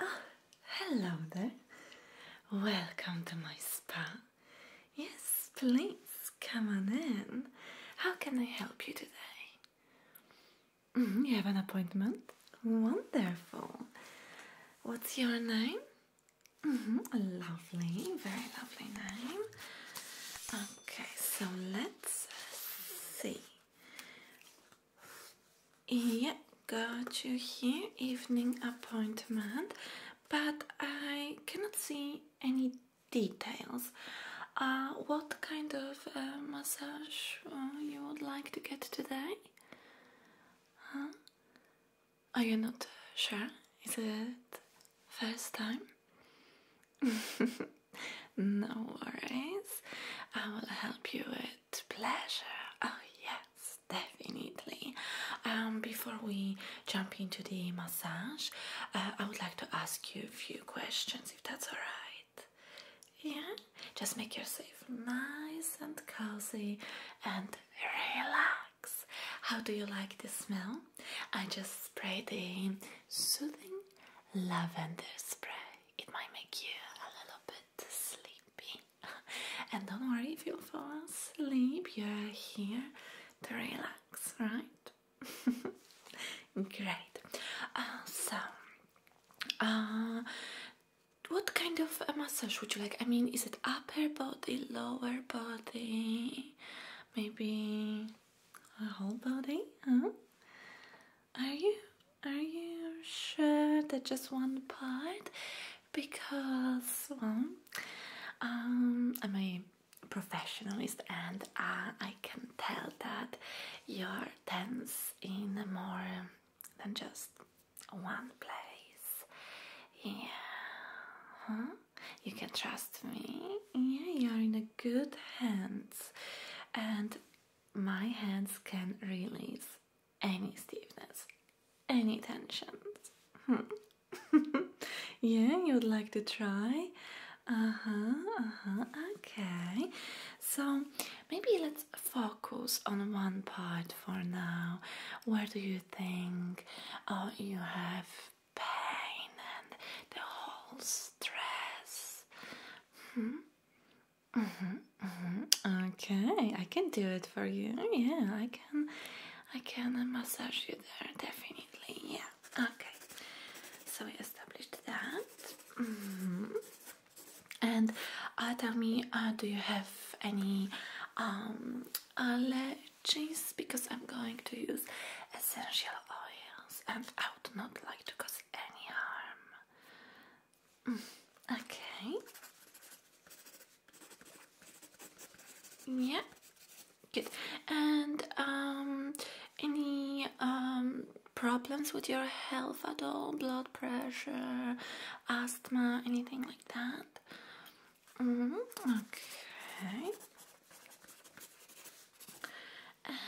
Oh, hello there. Welcome to my spa. Yes, please come on in. How can I help you today? Mm-hmm, you have an appointment? Wonderful. What's your name? Mm Lovely, very lovely name. Okay, so let's see. Yeah, got you here. Evening appointment, but I cannot see any details. Uh, what kind of uh, massage uh, you would like to get today? Are you not sure? Is it first time? no worries. I will help you with pleasure. Oh yes, definitely. Um, before we jump into the massage, uh, I would like to ask you a few questions, if that's alright. Yeah, just make yourself nice and cozy and relax. How do you like the smell? I just spray the soothing lavender spray. It might make you a little bit sleepy. and don't worry if you fall asleep, you're here to relax, right? Great. Uh, so, uh, what kind of a massage would you like? I mean, is it upper body, lower body? Maybe a whole body, Are you are you sure that just one part? Because um, I'm a professionalist and uh, I can tell that you're tense in more than just one place. Yeah. You can trust me. Yeah, you are in a good hands, and my hands can release any stiffness, any tensions. Hmm. yeah, you would like to try? Uh huh, uh huh, okay. So maybe let's focus on one part for now. Where do you think oh, you have pain and the whole stress. Hmm? -hmm, -hmm. Okay, I can do it for you. Oh, yeah, I can. I can massage you there definitely. Yeah. Okay. So we established that. Mm -hmm. And uh, tell me, do you have any um, uh, cheese because I'm going to use essential oils and I would not like to cause any harm. Mm, okay. Yeah, good. And um, any um, problems with your health at all? Blood pressure, asthma, anything like that? Mm, okay.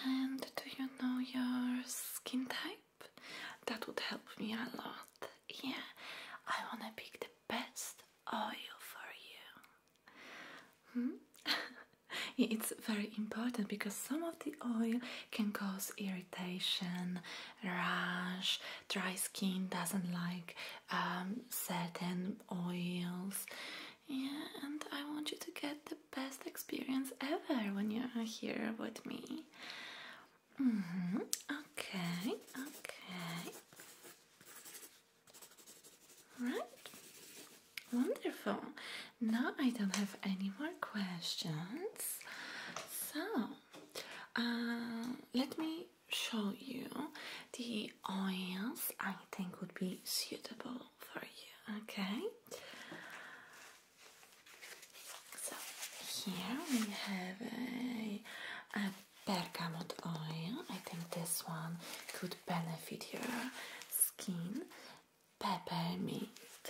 And do you know your skin type? That would help me a lot. Yeah, I wanna pick the best oil for you. Hmm? it's very important because some of the oil can cause irritation, rash, dry skin doesn't like um, certain oils. Yeah, and I want you to get the best experience ever when you are here with me. Mm-hmm. Okay, okay. Right. Wonderful. Now I don't have any more questions. So, uh, let me show you the oils I think would be suitable for you. Okay, so here we have a, a bergamot oil. I think this one could benefit your skin. Peppermint.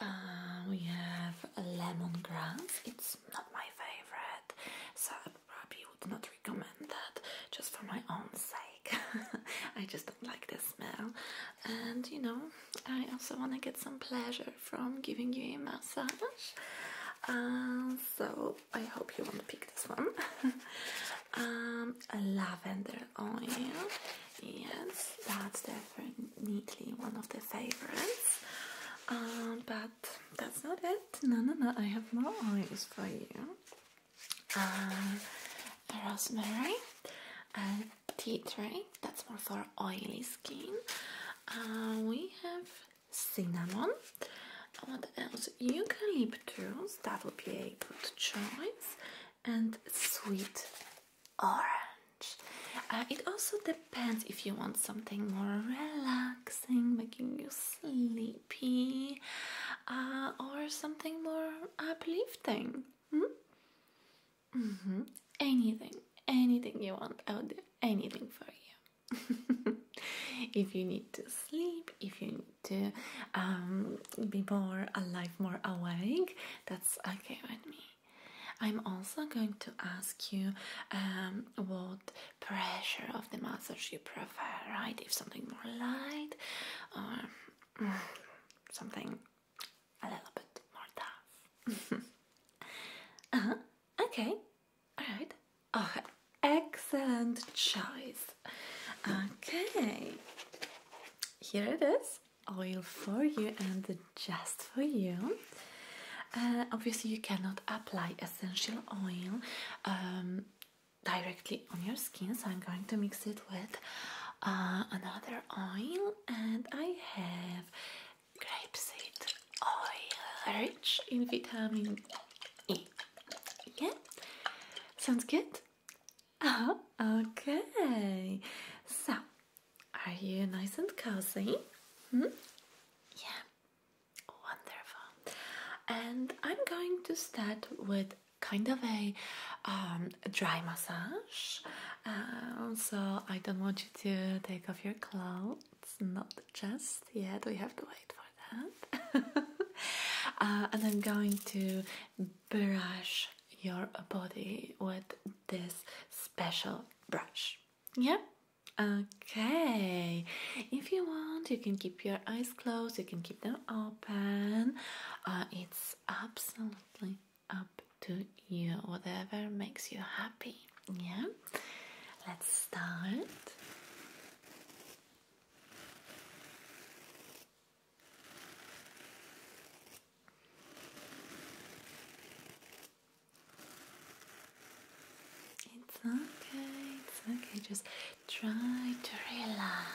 Uh, we have lemon grass. It's not my favorite, so I probably would not recommend that just for my own sake. I just don't like the smell, and you know, I also want to get some pleasure from giving you a massage. Um, so I hope you want to pick this one. Um, a lavender oil. Yes, that's definitely one of the favorites. Um, but that's not it. No, no, no. I have more oils for you. Um, rosemary, and tea tree. That's more for oily skin. Uh, we have cinnamon. What else? Eucalyptus. That would be a good choice. And sweet orange. Uh, it also depends if you want something more relaxing, making you sleepy uh, or something more uplifting. Hmm? Mm-hmm. Anything, anything you want, I'll do anything for you. if you need to sleep, if you need to um, be more alive, more awake, that's okay with me. I'm also going to ask you um, what pressure of the others you prefer, right? If something more light or mm, something a little bit more tough. uh -huh. Okay, alright. Oh, excellent choice. Okay, here it is oil for you and just for you. Uh, obviously, you cannot apply essential oil. Um, directly on your skin. So I'm going to mix it with uh, another oil, and I have grapeseed oil rich in vitamin E. Yeah, sounds good. Oh, okay. So, are you nice and cozy? Hmm? Yeah, wonderful. And I'm going to start with kind of a, um, dry massage. Um, so I don't want you to take off your clothes, not just yet. We have to wait for that. Uh, and I'm going to brush your body with this special brush. Yeah? Okay. If you want, you can keep your eyes closed, you can keep them open. Uh, it's absolutely up to you, whatever makes you happy. Yeah, let's start. It's okay, it's okay, just try to relax.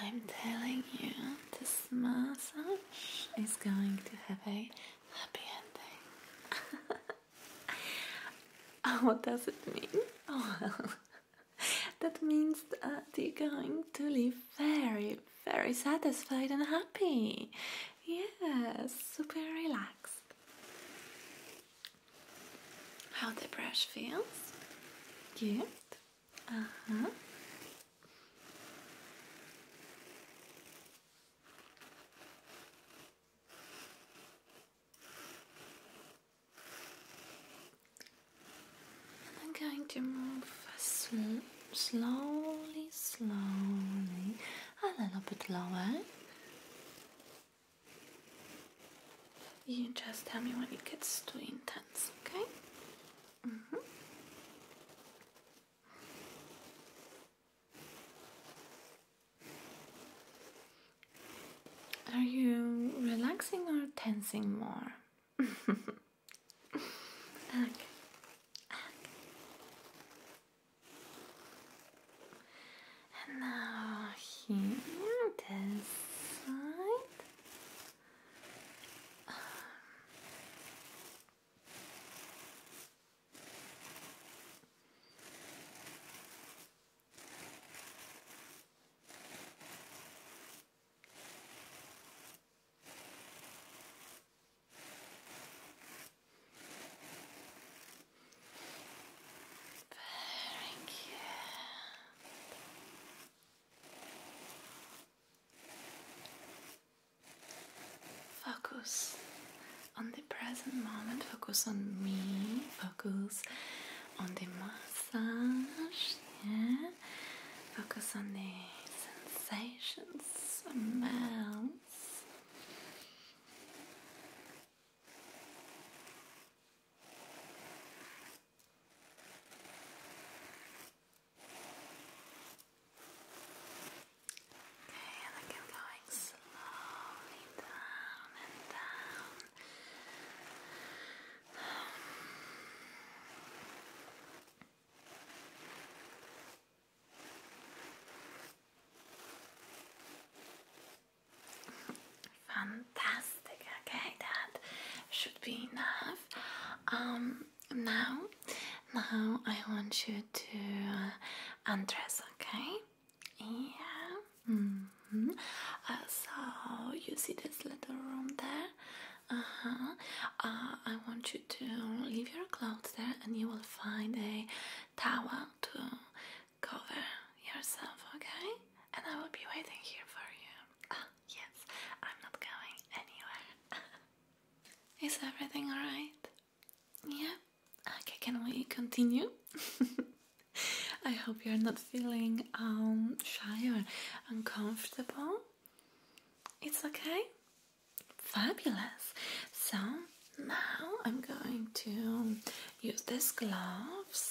I'm telling you, this massage is going to have a happy ending. Oh, what does it mean? Oh well. that means that you're going to live very, very satisfied and happy. Yes, super relaxed. How the brush feels? Good. Uh huh. I'm going to move slowly, slowly, a little bit lower. You just tell me when it gets too intense, okay? Mm-hmm. Are you relaxing or tensing more? okay. okay. And now here, this side. Focus on the present moment, focus on me, focus on the massage. Yeah. Focus on the sensations, smells. Okay, and I keep going slowly down and down. Fantastic. Okay, that should be enough. Um, now, now I want you to uh, undress. Okay? Yeah. -hmm. so you see this little room there? Uh-huh. Uh, I want you to leave your clothes there and you will find a towel to cover yourself, okay? And I will be waiting here for you. Ah, yes, I'm not going anywhere. Is everything alright? Yeah? Okay, can we continue? I hope you're not feeling um, shy or uncomfortable. It's okay? Fabulous. So now I'm going to use these gloves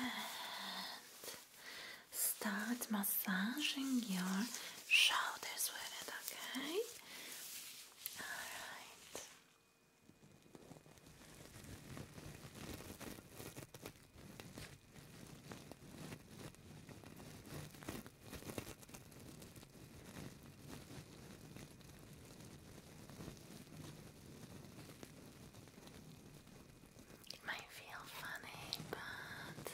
and start massaging your shoulders with it, okay? Alright. It might feel funny, but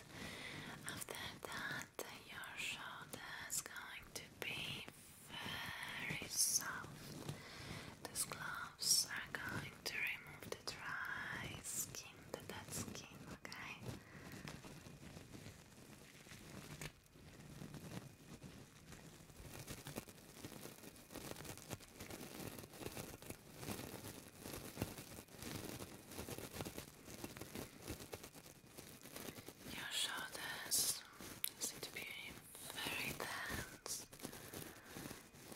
after that, your shoulder is going to be very soft. These gloves are going going to remove the dry skin, the dead skin, okay? Your shoulders seem to be very tense.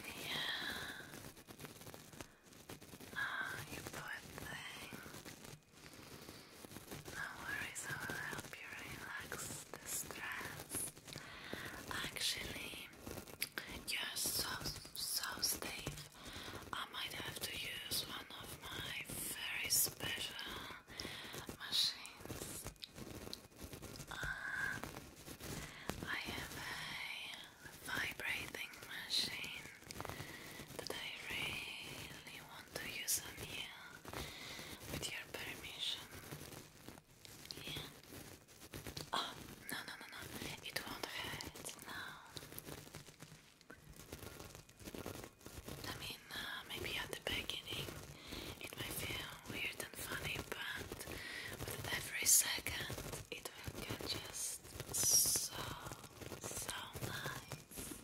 Yeah. Ah, you poor thing. No worries, I will help you relax the stress. Actually, you're so, so stiff. I might have to use one of my very special machines. Um, I have a vibrating machine that I really want to use on you with your permission. Yeah. Oh, no, no, no, no. It won't hurt. No. I mean, uh, maybe at the beginning it might feel weird and funny, but with every second it just so, so nice.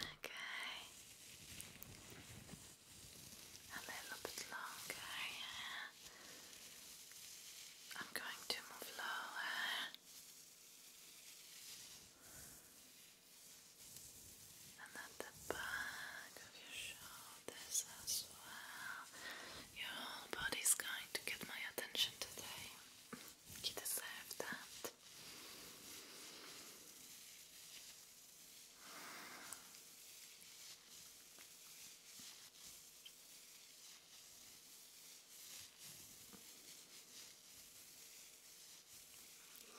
Okay. A little bit longer, I'm going to move lower and at the back of your shoulders as well. Your whole body's going to get my attention today. You deserve that.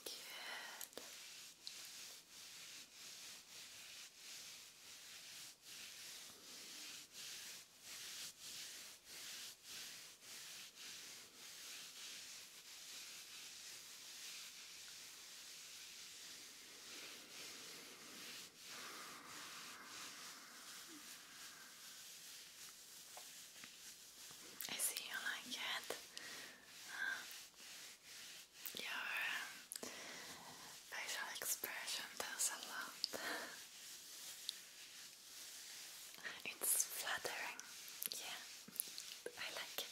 Good. I see you like it. Uh, your um, facial expression tells a lot. it's flattering, yeah, I like it.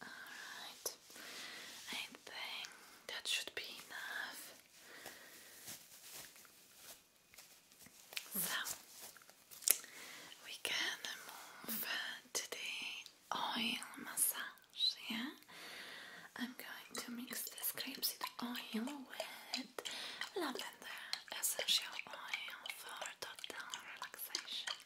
Alright, I think that should be enough. So, we can move to the oil massage, yeah? I'm going to mix this grapeseed oil with lavender essential oil for total relaxation.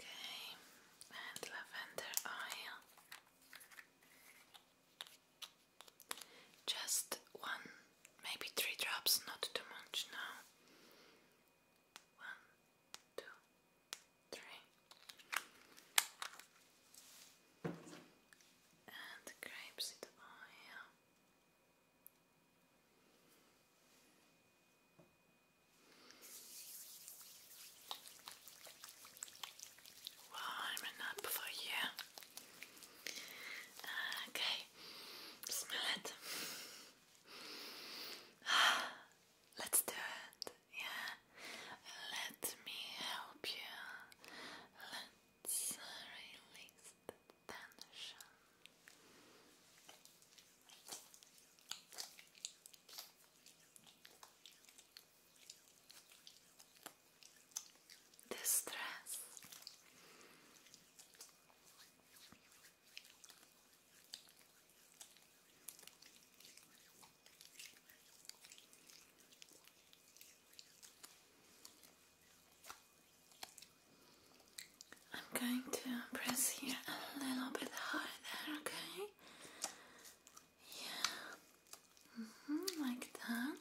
Okay, and lavender oil. Just one, maybe three drops, not too much now. One, two, three. And grapeseed oil. Warming up for you. Okay, smell it. Let's do it. Yeah, let me help you. Let's release tension. Distress. I'm going to press here a little bit harder, okay? Yeah. -hmm, like that.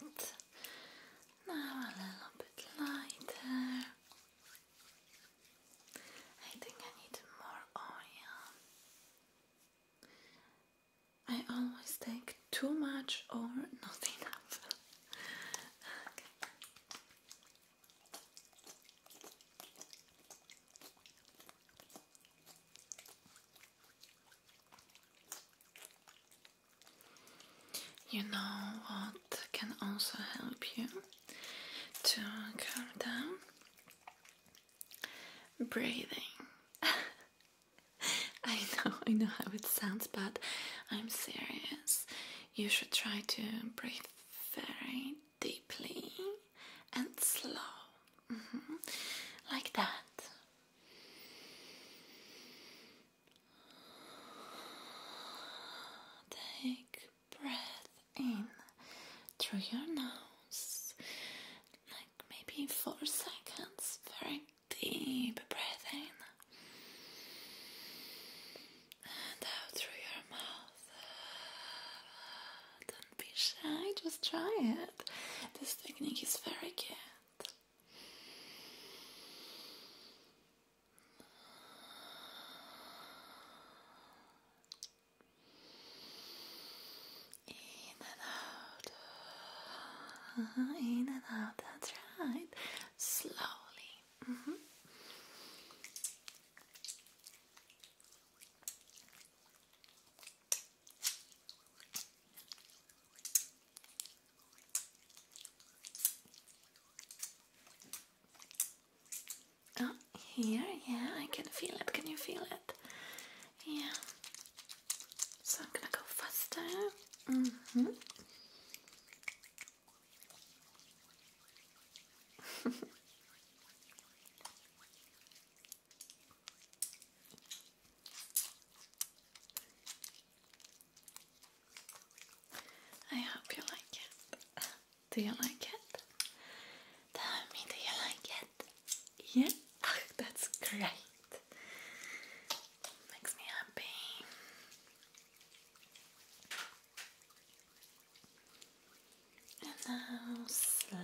And now a little bit lighter. I think I need more oil. I always take too much or nothing enough. okay. You know what can also help you to calm down? breathing. I know, I know how it sounds, but I'm serious. You should try to breathe very deeply and slow, mm-hmm. like that. Take breath in through your nose, like maybe four seconds, very deep breath in and out through your mouth. Don't be shy, just try it. This technique is very good. In and out. Uh-huh. In and out. That's right. Slowly. Mm-hmm. Oh here. Yeah, I can feel it. Can you feel it? Yeah. So I'm gonna go faster. Mm hmm. I hope you like it. Do you like it? Tell me, do you like it? Yeah, that's great. Makes me happy. And now slowly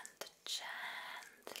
and gently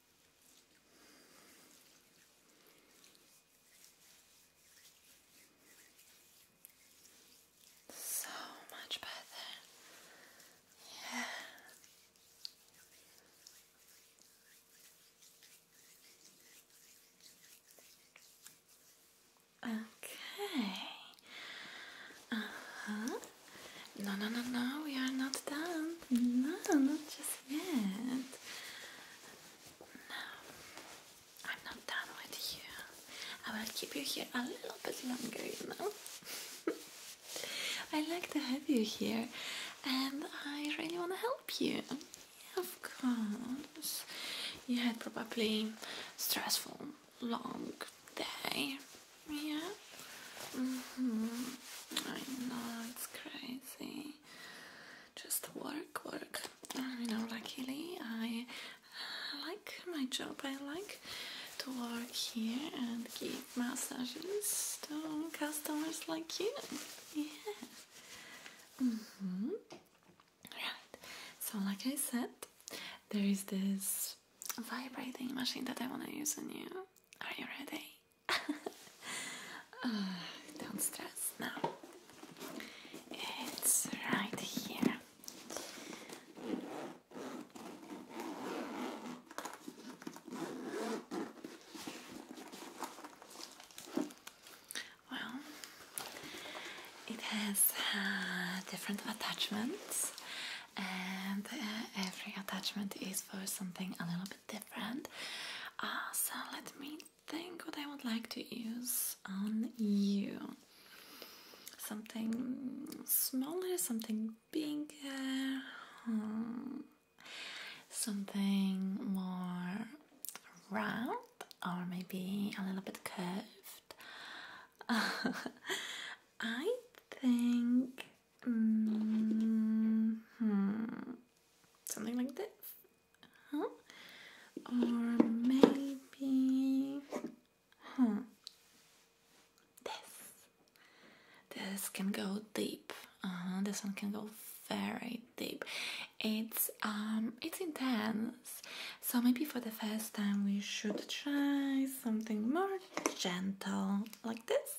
So much better. Yeah. Okay. Uh-huh. No, no, no, no, we are not done. No, not just yet. Now, I'm not done with you. I will keep you here a little bit longer, you know. I like to have you here and I really want to help you. of course. You had probably stressful, long day. Yeah? Mm-hmm. I know, it's crazy just work, work. You know, luckily I like my job. I like to work here and give massages to customers like you. Yeah. Mm-hmm. Right. So, like I said, there is this vibrating machine that I want to use on you. Are you ready? don't stress now. It's right here. Well, it has uh, different attachments, and uh, every attachment is for something a little bit different. Uh, so let me think what I would like to use on you. Something smaller, something bigger, hmm, something more round, or maybe a little bit curved. I think mm, hmm, something like this huh? Or maybe, huh? This. This can go deep. Uh -huh. This one can go very deep. It's um, it's intense. So maybe for the first time we should try something more gentle, like this.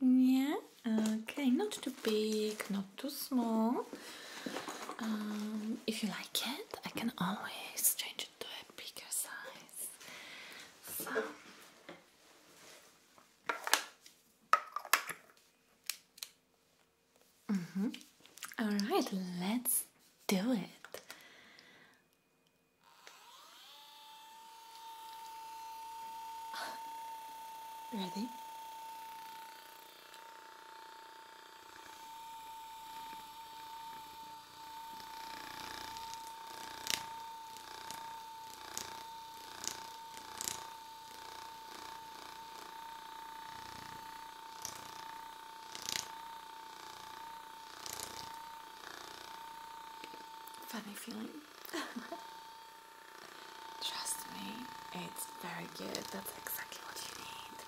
Yeah. Okay, not too big, not too small. Um, if you like it, I can always change it to a bigger size. So. Mm-hmm. All right, let's do it. Ready? Funny feeling Trust me, it's very good. That's exactly what you need.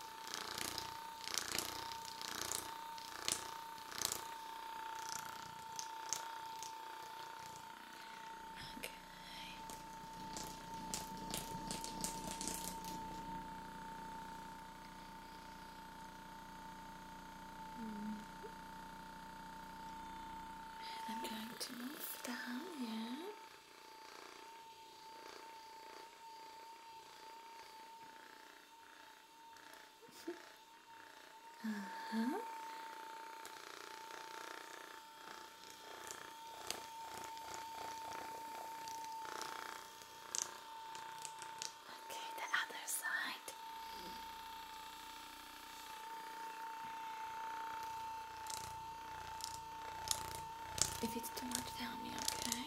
Okay. Mm. I'm going to move down, yeah uh-huh. Okay, the other side. If it's too much, tell me, okay?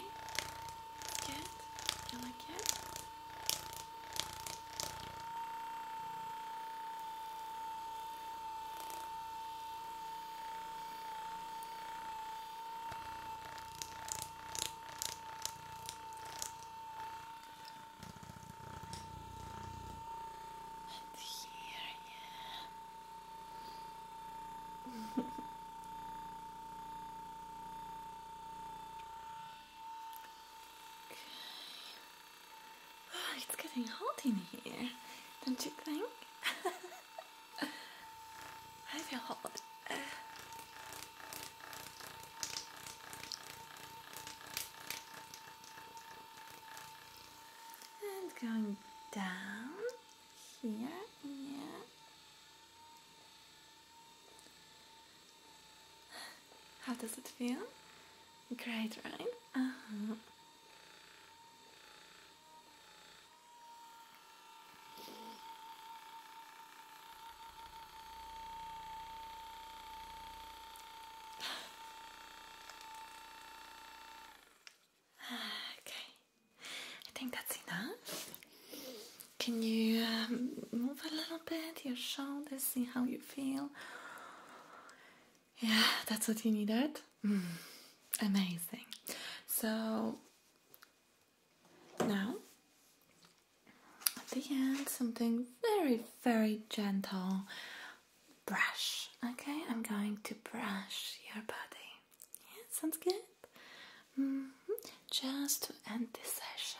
Good? You like it? And here Oh, it's getting hot in here, don't you think? I feel hot. And going down here, yeah. How does it feel? Great, right? Uh -huh. Okay, I think that's enough. Can you um, move a little bit your shoulders, see how you feel? Yeah, that's what you needed. Mm. amazing. So now, at the end, something very, very gentle brush. Okay, I'm going to brush your body. sounds good. Mm-hmm. Just to end the session.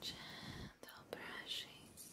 Gentle brushes.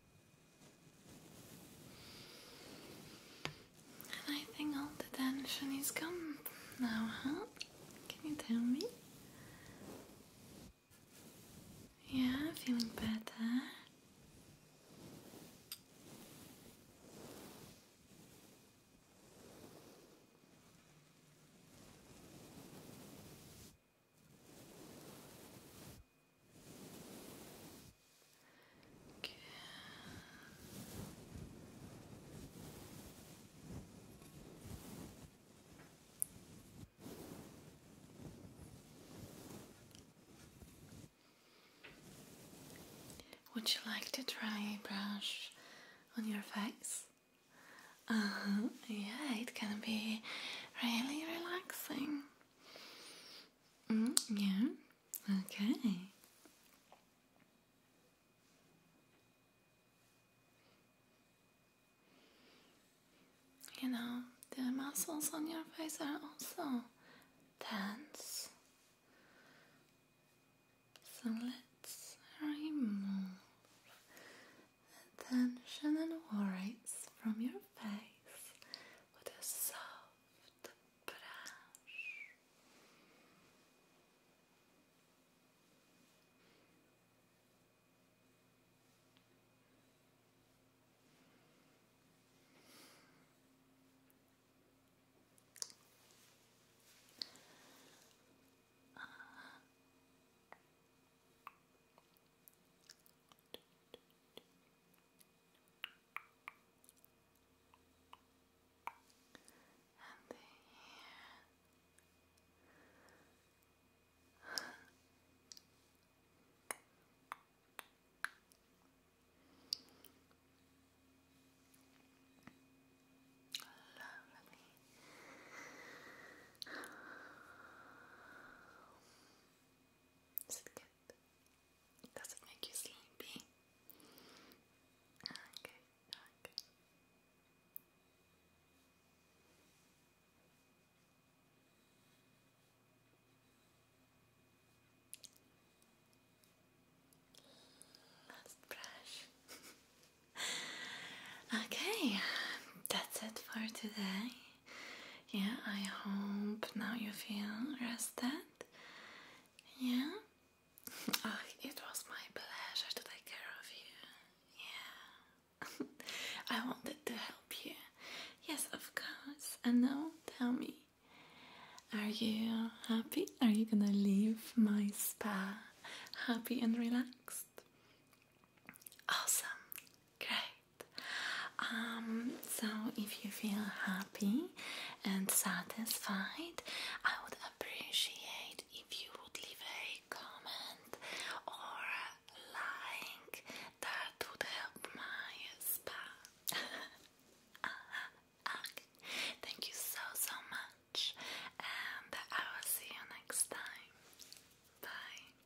I think all the tension is gone now, huh? Can you tell me? Yeah, feeling better. Would you like to try a brush on your face? Uh, yeah, it can be really relaxing. Mm, yeah. Okay. You know, the muscles on your face are also tense. So let's remove the tension and worries from your face with a soft brush and the ear. Lovely. Is does it make you sleepy? Okay, Last brush. okay, that's it for today. Yeah, I hope now you feel rested. Yeah? Oh, it was my pleasure to take care of you. Yeah. I wanted to help you. Yes, of course. And now tell me. Are you happy? Are you gonna leave my spa happy and relaxed? Awesome. Great. Um, so, if you feel happy and satisfied, I would appreciate if you would leave a comment or a like. That would help my spa. Thank you so so much, and I will see you next time. Bye.